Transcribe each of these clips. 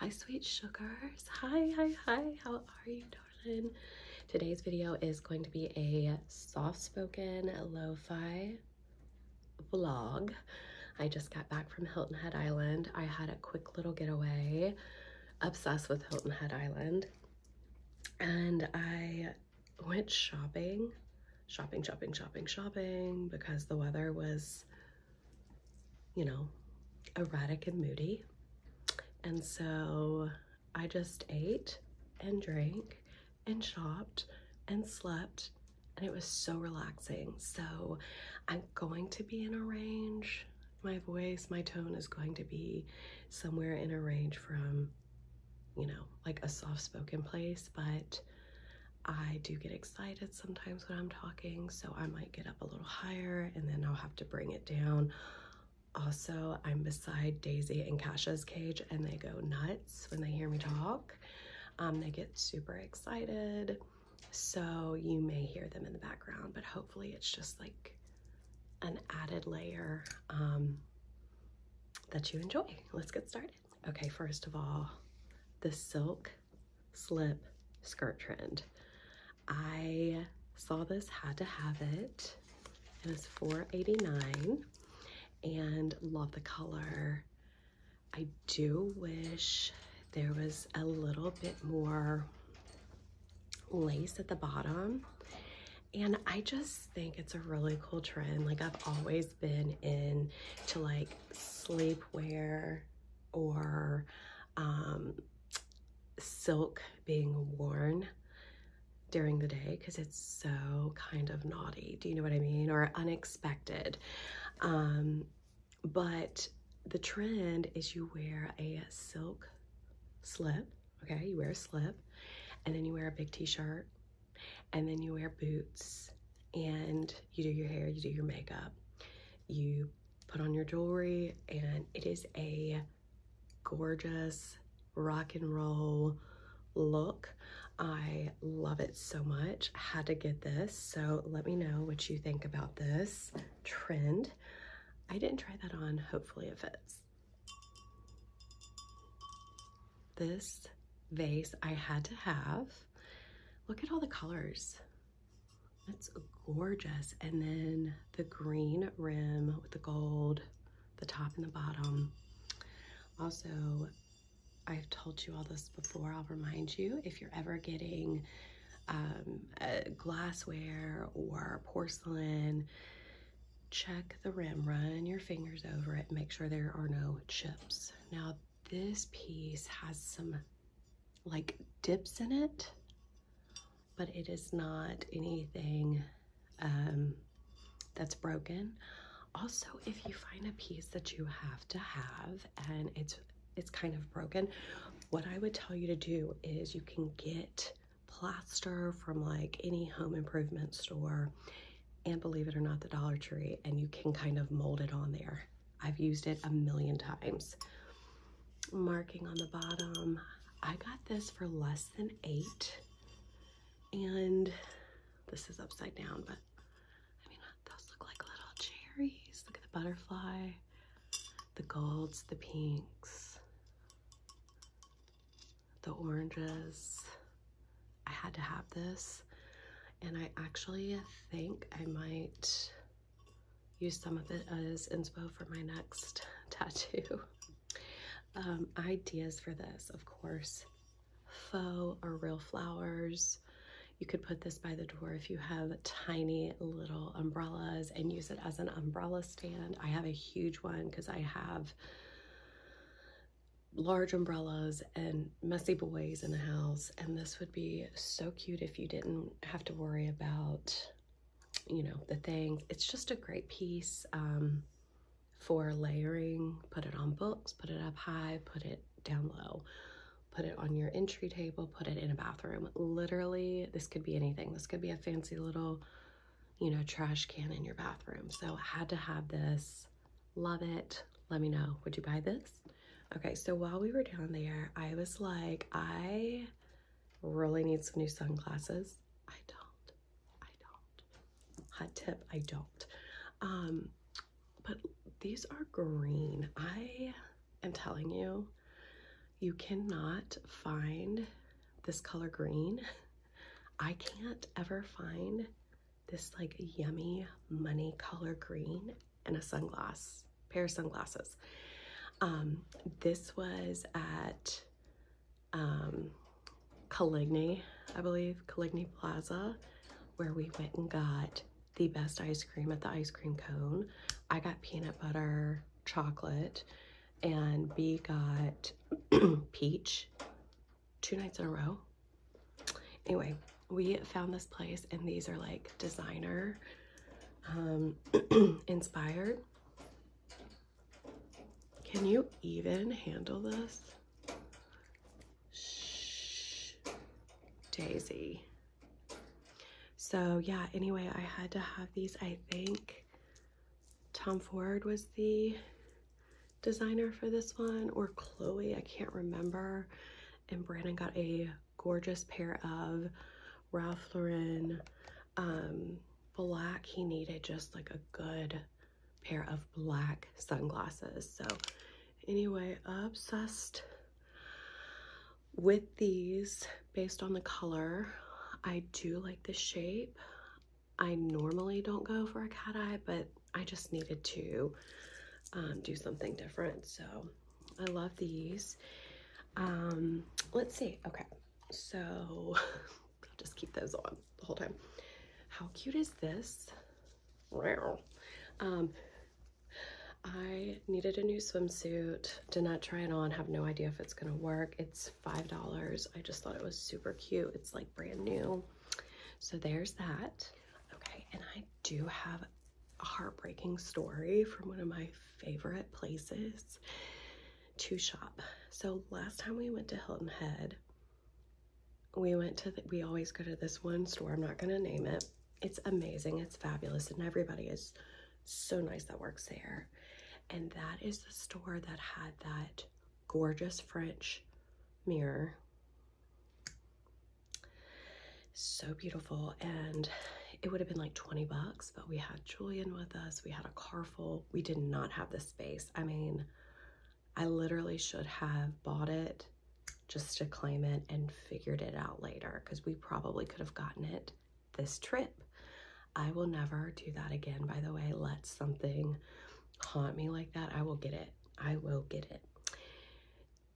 Hi, sweet sugars. Hi, hi, hi. How are you, darling? Today's video is going to be a soft-spoken lo-fi vlog. I just got back from Hilton Head Island. I had a quick little getaway. Obsessed with Hilton Head Island. And I went shopping, shopping, shopping, shopping, shopping because the weather was you know, erratic and moody. And so I just ate and drank and shopped and slept and it was so relaxing. So I'm going to be in a range. My voice, my tone is going to be somewhere in a range from, you know, like a soft spoken place, but I do get excited sometimes when I'm talking, so I might get up a little higher and then I'll have to bring it down. Also, I'm beside Daisy and Kasha's cage and they go nuts when they hear me talk. Um, they get super excited. So you may hear them in the background, but hopefully it's just like an added layer um, that you enjoy. Let's get started. Okay, first of all, the silk slip skirt trend. I saw this, had to have it. It It is 4.89, and love the color. I do wish there was a little bit more lace at the bottom. And I just think it's a really cool trend. Like I've always been into like sleepwear or um, silk being worn during the day because it's so kind of naughty. Do you know what I mean? Or unexpected. Um, but the trend is you wear a silk slip, okay? You wear a slip and then you wear a big t-shirt and then you wear boots and you do your hair, you do your makeup, you put on your jewelry, and it is a gorgeous rock and roll look. I love it so much. Had to get this. So let me know what you think about this trend. I didn't try that on. Hopefully it fits. This vase I had to have. Look at all the colors. That's gorgeous. And then the green rim with the gold, the top and the bottom. Also, I've told you all this before, I'll remind you, if you're ever getting um, glassware or porcelain, check the rim, run your fingers over it, make sure there are no chips. Now this piece has some like dips in it, but it is not anything um, that's broken. Also, if you find a piece that you have to have and it's it's kind of broken, what I would tell you to do is you can get plaster from like any home improvement store and believe it or not, the Dollar Tree, and you can kind of mold it on there. I've used it a million times. Marking on the bottom. I got this for less than eight, and this is upside down, but I mean, those look like little cherries. Look at the butterfly, the golds, the pinks, the oranges. I had to have this. And I actually think I might use some of it as inspo for my next tattoo. Um, ideas for this, of course, faux or real flowers. You could put this by the door if you have tiny little umbrellas and use it as an umbrella stand. I have a huge one because I have large umbrellas and messy boys in the house and this would be so cute if you didn't have to worry about you know the things it's just a great piece um, for layering put it on books put it up high put it down low put it on your entry table put it in a bathroom literally this could be anything this could be a fancy little you know trash can in your bathroom so I had to have this Love it. Let me know. Would you buy this? Okay, so while we were down there, I was like, I really need some new sunglasses. I don't. I don't. Hot tip, I don't. Um, but these are green. I am telling you, you cannot find this color green. I can't ever find this like yummy money color green and a sunglasses pair of sunglasses um this was at um Caligny I believe Caligny Plaza where we went and got the best ice cream at the ice cream cone I got peanut butter chocolate and B got peach two nights in a row. Anyway, we found this place and these are like designer um, inspired. Can you even handle this? Shh, Daisy. So yeah, anyway, I had to have these, I think Tom Ford was the designer for this one or Chloe, I can't remember. And Brandon got a gorgeous pair of Ralph Lauren um, black. He needed just like a good pair of black sunglasses. So anyway, obsessed with these based on the color. I do like the shape. I normally don't go for a cat eye, but I just needed to um, do something different. So I love these. Um, let's see. Okay. So I'll just keep those on the whole time. How cute is this? Wow. Um, I needed a new swimsuit. Did not try it on. Have no idea if it's going to work. It's $5. I just thought it was super cute. It's like brand new so there's that. Okay, and I do have a heartbreaking story from one of my favorite places to shop. So last time we went to Hilton Head, we went to, we always go to this one store. I'm not going to name it. It's amazing. It's fabulous. And everybody is so nice that works there. And that is the store that had that gorgeous French mirror so beautiful. And it would have been like 20 bucks, but we had Julian with us. We had a car full. We did not have the space. I mean, I literally should have bought it just to claim it and figured it out later because we probably could have gotten it this trip. I will never do that again, by the way. Let something haunt me like that, I will get it. I will get it.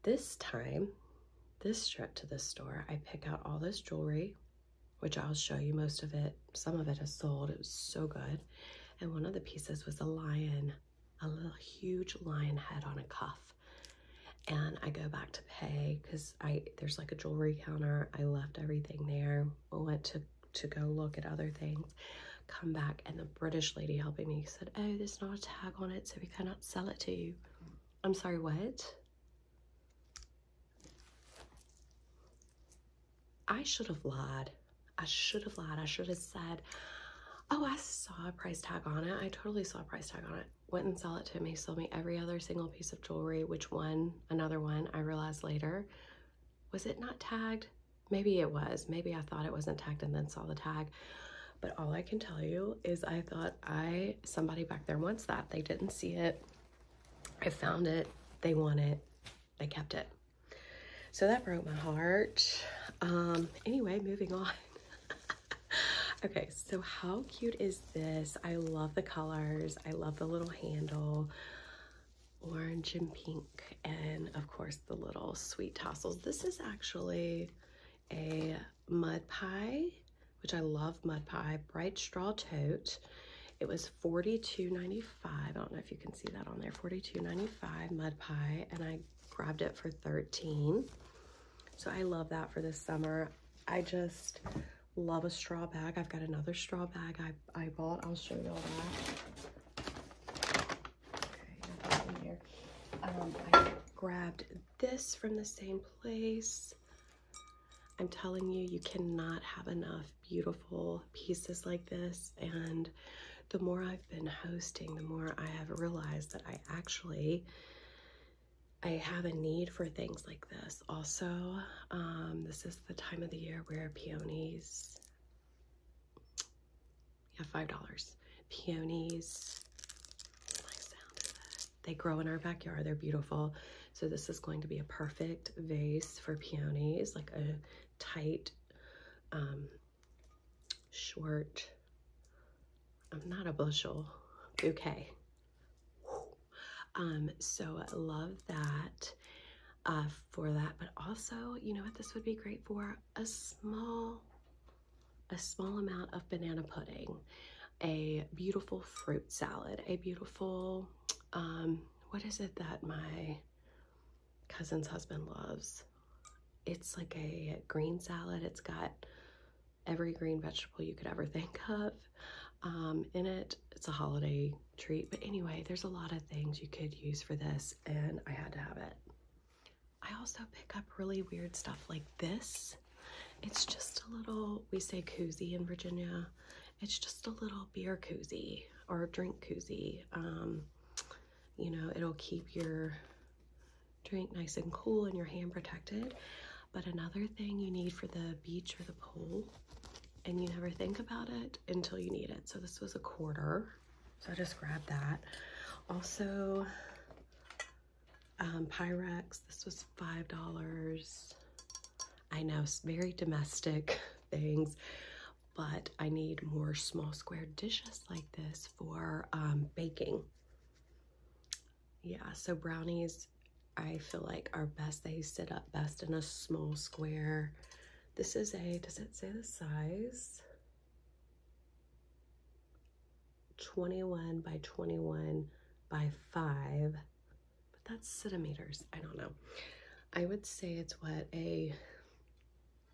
This time, this trip to the store, I pick out all this jewelry, which I'll show you most of it. Some of it is sold. It was so good. And one of the pieces was a lion, a little huge lion head on a cuff. And I go back to pay because I there's like a jewelry counter. I left everything there. I went to to go look at other things come back and the british lady helping me said oh there's not a tag on it so we cannot sell it to you i'm sorry what i should have lied i should have lied i should have said oh i saw a price tag on it i totally saw a price tag on it Went and sold it to him. He sold me every other single piece of jewelry which one another one i realized later was it not tagged Maybe it was. Maybe I thought it wasn't tagged and then saw the tag. But all I can tell you is I thought I, somebody back there wants that. They didn't see it. I found it. They want it. They kept it. So that broke my heart. Um, anyway, moving on. okay, so how cute is this? I love the colors. I love the little handle orange and pink, and of course the little sweet tassels. This is actually a mud pie, which I love mud pie, bright straw tote. It was forty two ninety five. I don't know if you can see that on there. Forty two ninety five mud pie, and I grabbed it for 13. So I love that for this summer. I just love a straw bag. I've got another straw bag I, I bought. I'll show y'all that. Okay, in here. I grabbed this from the same place. I'm telling you, you cannot have enough beautiful pieces like this. And the more I've been hosting, the more I have realized that I actually, I have a need for things like this. Also, um, this is the time of the year where peonies yeah, five dollars. Peonies. They grow in our backyard. They're beautiful. So this is going to be a perfect vase for peonies, like a tight, um, short. I'm um, not a bushel bouquet. Um, so I love that uh, for that. But also, you know what this would be great for? A small, a small amount of banana pudding, a beautiful fruit salad, a beautiful, um, what is it that my cousin's husband loves? It's like a green salad. It's got every green vegetable you could ever think of um, in it. It's a holiday treat. But anyway, there's a lot of things you could use for this, and I had to have it. I also pick up really weird stuff like this. It's just a little, we say koozie in Virginia. It's just a little beer koozie or drink koozie. Um, you know, it'll keep your drink nice and cool and your hand protected. But another thing you need for the beach or the pool and you never think about it until you need it. So this was a quarter. So I just grabbed that. Also, um, Pyrex, this was $5. I know, very domestic things, but I need more small square dishes like this for um, baking. Yeah, so brownies, I feel like are best, they sit up best in a small square this is a, does it say the size? 21 by 21 by 5, but that's centimeters. I don't know. I would say it's what, a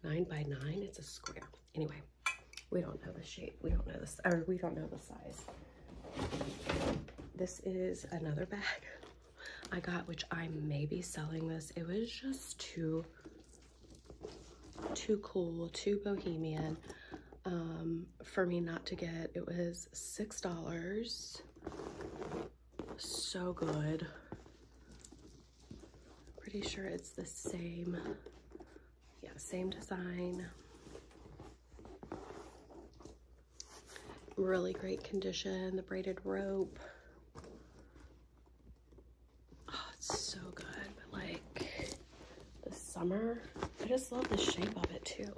9 by 9? It's a square. Anyway, we don't know the shape. We don't know this, or we don't know the size. This is another bag. I got, which I may be selling this. It was just too, too cool, too bohemian um, for me not to get. It was $6. So good. Pretty sure it's the same, yeah, same design. Really great condition. The braided rope. Oh, it's so good. But like the summer, I just love the shape of it too.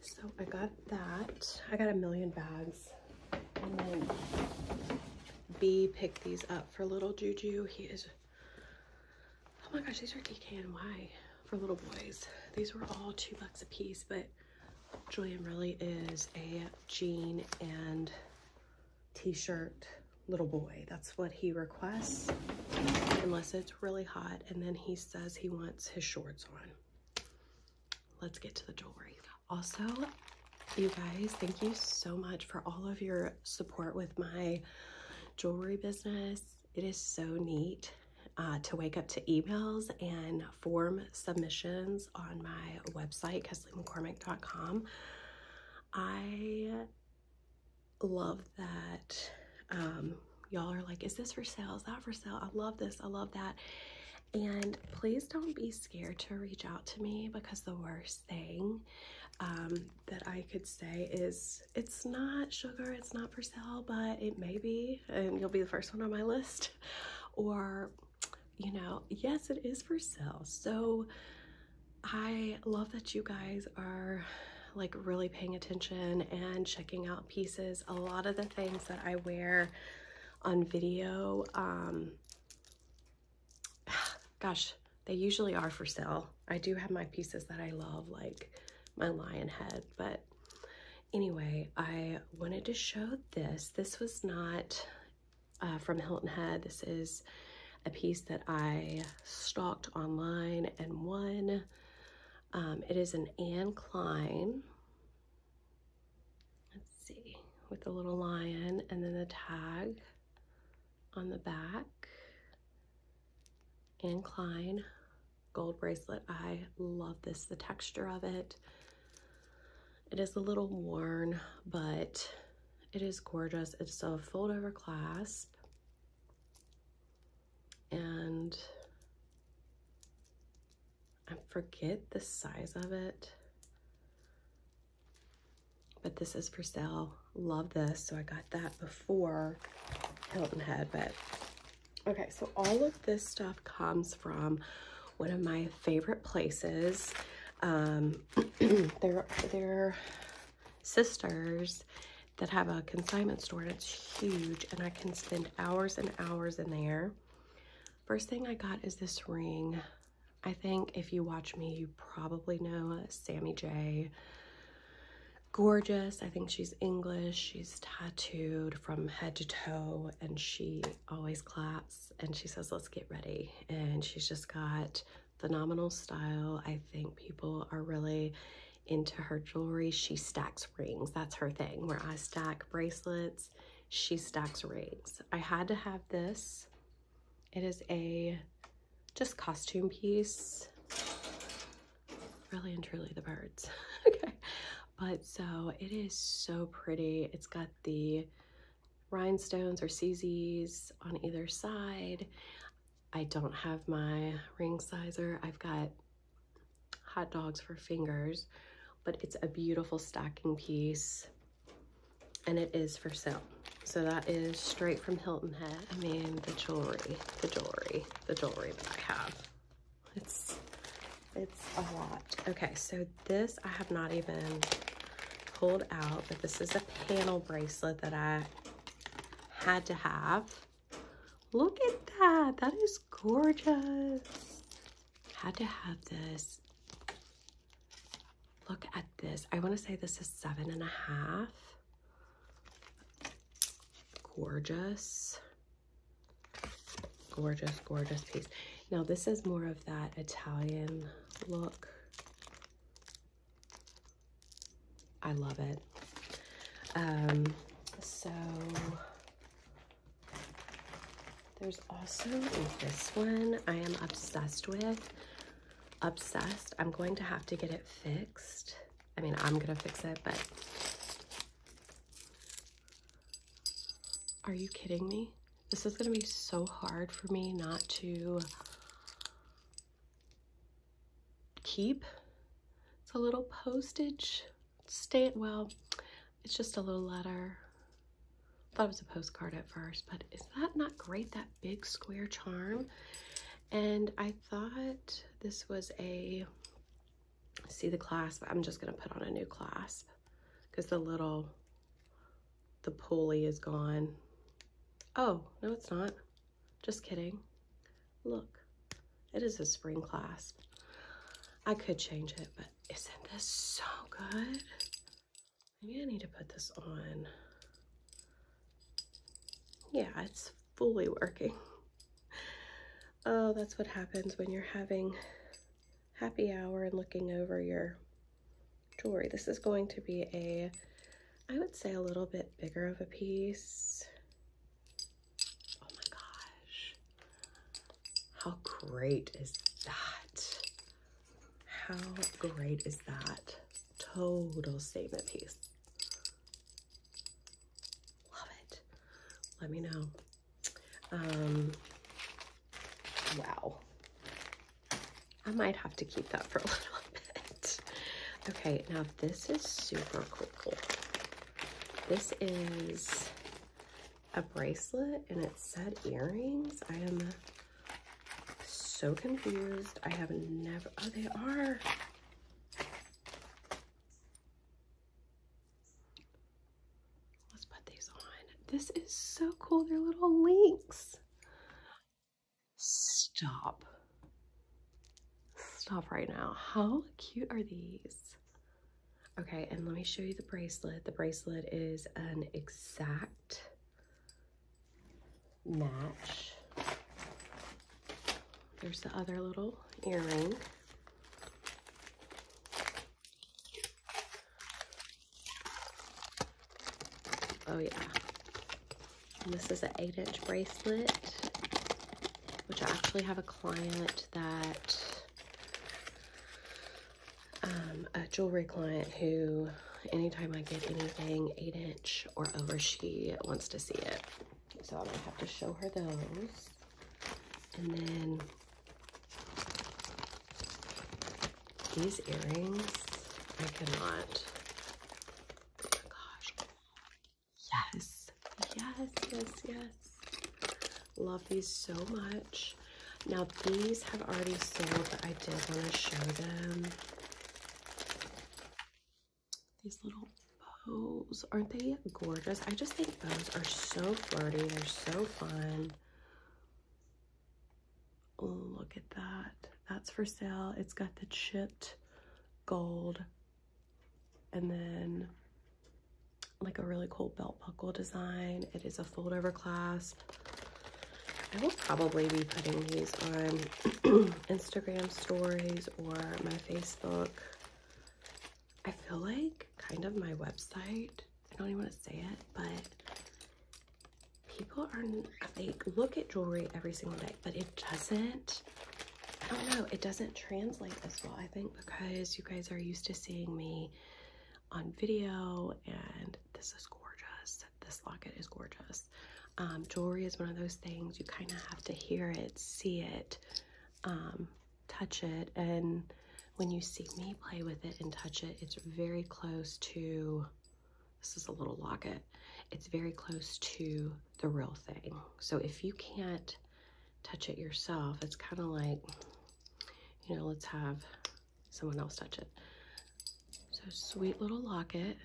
So I got that. I got a million bags. And then B picked these up for little Juju. He is, oh my gosh, these are DKNY for little boys. These were all two bucks a piece, but Julian really is a jean and t-shirt little boy. That's what he requests, unless it's really hot. And then he says he wants his shorts on. Let's get to the jewelry. Also, you guys, thank you so much for all of your support with my jewelry business it is so neat uh, to wake up to emails and form submissions on my website, KesleyMcCormick.com. I love that um, y'all are like, is this for sale? Is that for sale? I love this. I love that. And please don't be scared to reach out to me because the worst thing um, that I could say is it's not sugar, it's not for sale, but it may be and you'll be the first one on my list. Or, you know, yes, it is for sale. So I love that you guys are like really paying attention and checking out pieces. A lot of the things that I wear on video, um, gosh, they usually are for sale. I do have my pieces that I love, like my lion head, but Anyway, I wanted to show this. This was not uh, from Hilton Head. This is a piece that I stalked online and won. Um, it is an Anne Klein. Let's see, with a little lion and then the tag on the back. Anne Klein gold bracelet. I love this, the texture of it. It is a little worn, but it is gorgeous. It's a fold over clasp and I forget the size of it, but this is for sale. Love this. So I got that before Hilton had but Okay, so all of this stuff comes from one of my favorite places. Um, they're, sisters that have a consignment store and it's huge and I can spend hours and hours in there. First thing I got is this ring. I think if you watch me, you probably know Sammy Jay gorgeous. I think she's English. She's tattooed from head to toe and she always claps and she says, let's get ready. And she's just got phenomenal style. I think people are really into her jewelry. She stacks rings. That's her thing where I stack bracelets. She stacks rings. I had to have this. It is a just costume piece really and truly the birds. okay. But so it is so pretty. It's got the rhinestones or CZs on either side. I don't have my ring sizer. I've got hot dogs for fingers, but it's a beautiful stacking piece and it is for sale. So that is straight from Hilton Head. I mean, the jewelry, the jewelry, the jewelry that I have it's, it's a lot. Okay, so this I have not even pulled out, but this is a panel bracelet that I had to have. Look at that. That is gorgeous. Had to have this. Look at this. I want to say this is seven and a half. Gorgeous. Gorgeous, gorgeous piece. Now this is more of that Italian look. I love it. Um, so there's also this one I am obsessed with. Obsessed. I'm going to have to get it fixed. I mean, I'm gonna fix it, but are you kidding me? This is gonna be so hard for me not to keep. It's a little postage Stay stamp. Well, it's just a little letter. Thought it was a postcard at first, but is that not great? That big square charm. And I thought this was a, see the clasp, I'm just gonna put on a new clasp because the little, the pulley is gone. Oh, no it's not, just kidding. Look, it is a spring clasp. I could change it, but isn't this so good? Maybe I need to put this on yeah, it's fully working. Oh, that's what happens when you're having happy hour and looking over your jewelry. This is going to be a, I would say a little bit bigger of a piece. Oh my gosh. How great is that? How great is that? Total statement piece. Love it. Let me know. Um, wow. I might have to keep that for a little bit. Okay, now this is super cool. This is a bracelet and it said earrings. I am so confused. I have never, oh, they are. Let's put these on. This is so cool. They're little links. Stop. Stop right now. How cute are these? Okay, and let me show you the bracelet. The bracelet is an exact match. There's the other little earring. Oh yeah. this is an eight inch bracelet, which I actually have a client that, um, a jewelry client who anytime I get anything eight inch or over she wants to see it. So I'm gonna have to show her those. And then these earrings, I cannot. Oh yes, yes, yes, yes. Love these so much. Now these have already sold, but I did want to show them these little bows. Aren't they gorgeous? I just think bows are so flirty. They're so fun. Look at that. That's for sale. It's got the chipped gold and then like a really cool belt buckle design. It is a fold over clasp. I will probably be putting these on Instagram stories or my Facebook. I feel like kind of my website. I don't even want to say it, but people are, they look at jewelry every single day, but it doesn't, I don't know, it doesn't translate as well, I think, because you guys are used to seeing me on video and this is gorgeous. This locket is gorgeous. Um, jewelry is one of those things you kind of have to hear it, see it, um, touch it, and when you see me play with it and touch it, it's very close to this is a little locket. It's very close to the real thing. So if you can't touch it yourself, it's kind of like, you know, let's have someone else touch it. So sweet little locket.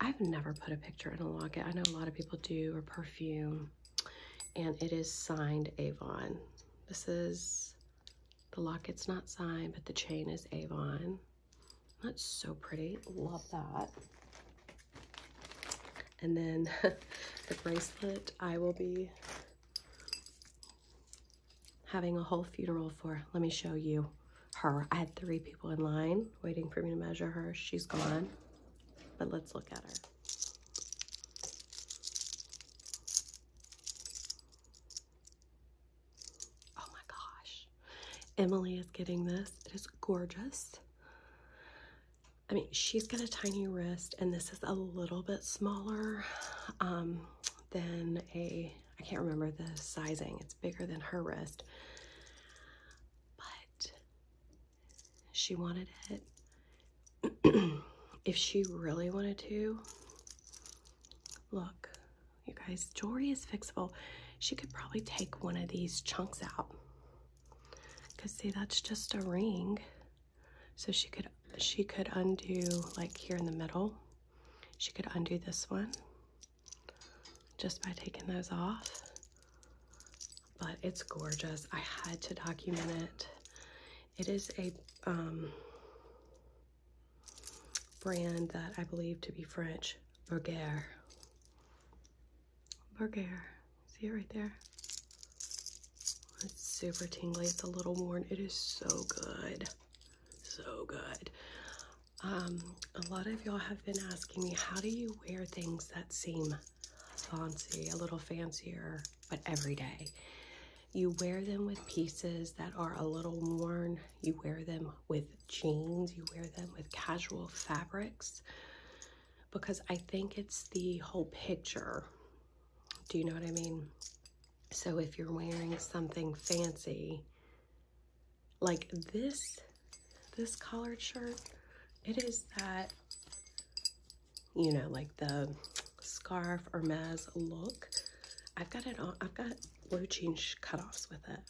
I've never put a picture in a locket. I know a lot of people do, or perfume. And it is signed Avon. This is, the locket's not signed, but the chain is Avon. That's so pretty. Love that. And then the bracelet, I will be having a whole funeral for. Let me show you her. I had three people in line waiting for me to measure her. She's gone, but let's look at her. Oh my gosh. Emily is getting this. It is gorgeous. I mean, she's got a tiny wrist and this is a little bit smaller um, than a I can't remember the sizing, it's bigger than her wrist. But she wanted it. if she really wanted to, look, you guys, jewelry is fixable. She could probably take one of these chunks out. Cause see, that's just a ring. So she could she could undo like here in the middle she could undo this one just by taking those off. But it's gorgeous. I had to document it. It is a um, brand that I believe to be French, Berger. Berger. See it right there? It's super tingly. It's a little worn. It is so good so good. Um, a lot of y'all have been asking me, how do you wear things that seem fancy, a little fancier, but every day? You wear them with pieces that are a little worn. You wear them with jeans. You wear them with casual fabrics because I think it's the whole picture. Do you know what I mean? So if you're wearing something fancy, like this, this collared shirt, it is that, you know, like the scarf or mez look. I've got it on, I've got blue jean cutoffs with it.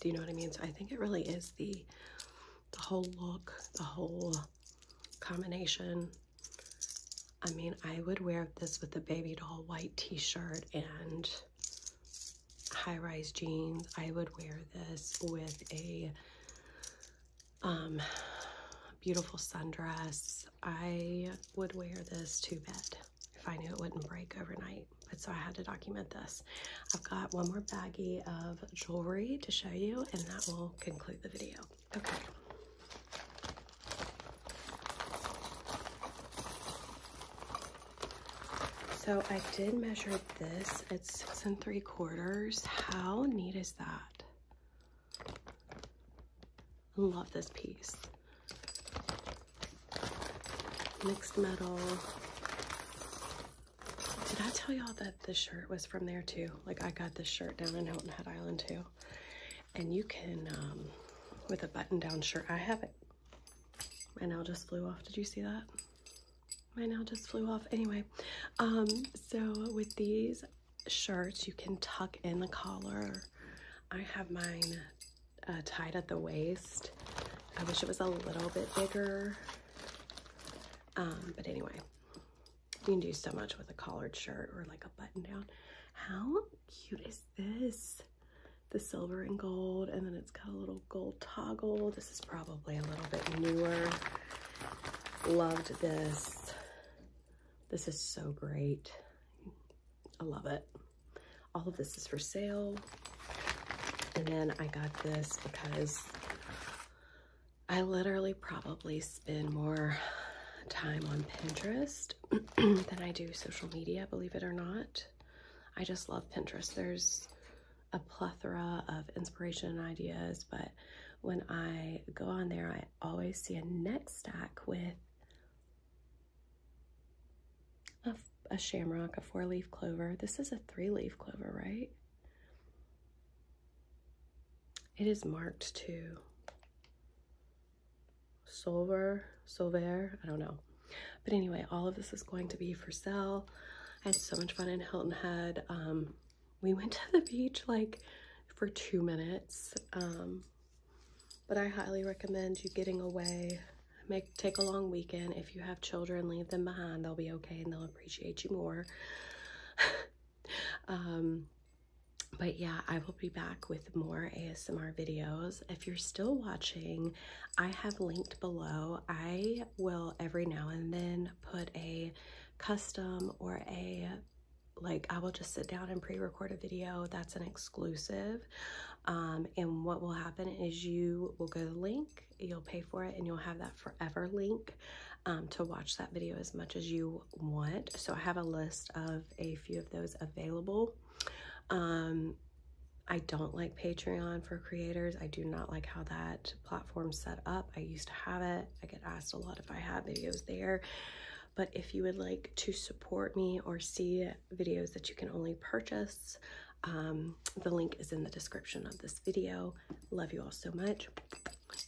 Do you know what I mean? So I think it really is the, the whole look, the whole combination I mean, I would wear this with a baby doll white t-shirt and high-rise jeans. I would wear this with a um, beautiful sundress. I would wear this to bed if I knew it wouldn't break overnight. But so I had to document this. I've got one more baggie of jewelry to show you and that will conclude the video. Okay. So I did measure this at six and three quarters. How neat is that? Love this piece. Mixed metal. Did I tell y'all that the shirt was from there too? Like I got this shirt down in Hilton Head Island too. And you can, um, with a button down shirt, I have it. My nail just flew off. Did you see that? My nail just flew off. Anyway, um, so with these shirts, you can tuck in the collar. I have mine uh, tied at the waist. I wish it was a little bit bigger. Um, but anyway, you can do so much with a collared shirt or like a button down. How cute is this? The silver and gold, and then it's got a little gold toggle. This is probably a little bit newer. Loved this. This is so great. I love it. All of this is for sale. And then I got this because I literally probably spend more time on Pinterest than I do social media, believe it or not. I just love Pinterest. There's a plethora of inspiration and ideas, but when I go on there, I always see a next stack with a shamrock, a four-leaf clover. This is a three-leaf clover, right? It is marked too. Sauver, Sauver, I don't know. But anyway, all of this is going to be for sale. I had so much fun in Hilton Head. Um, we went to the beach like for two minutes. Um, but I highly recommend you getting away. Make Take a long weekend. If you have children, leave them behind. They'll be okay and they'll appreciate you more. Um, but yeah, I will be back with more ASMR videos. If you're still watching, I have linked below. I will every now and then put a custom or a like I will just sit down and pre-record a video that's an exclusive um, and what will happen is you will go to the link you'll pay for it and you'll have that forever link um, to watch that video as much as you want so I have a list of a few of those available. Um, I don't like Patreon for creators. I do not like how that platform's set up. I used to have it. I get asked a lot if I have videos there. But if you would like to support me or see videos that you can only purchase, um, the link is in the description of this video. Love you all so much,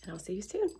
and I'll see you soon.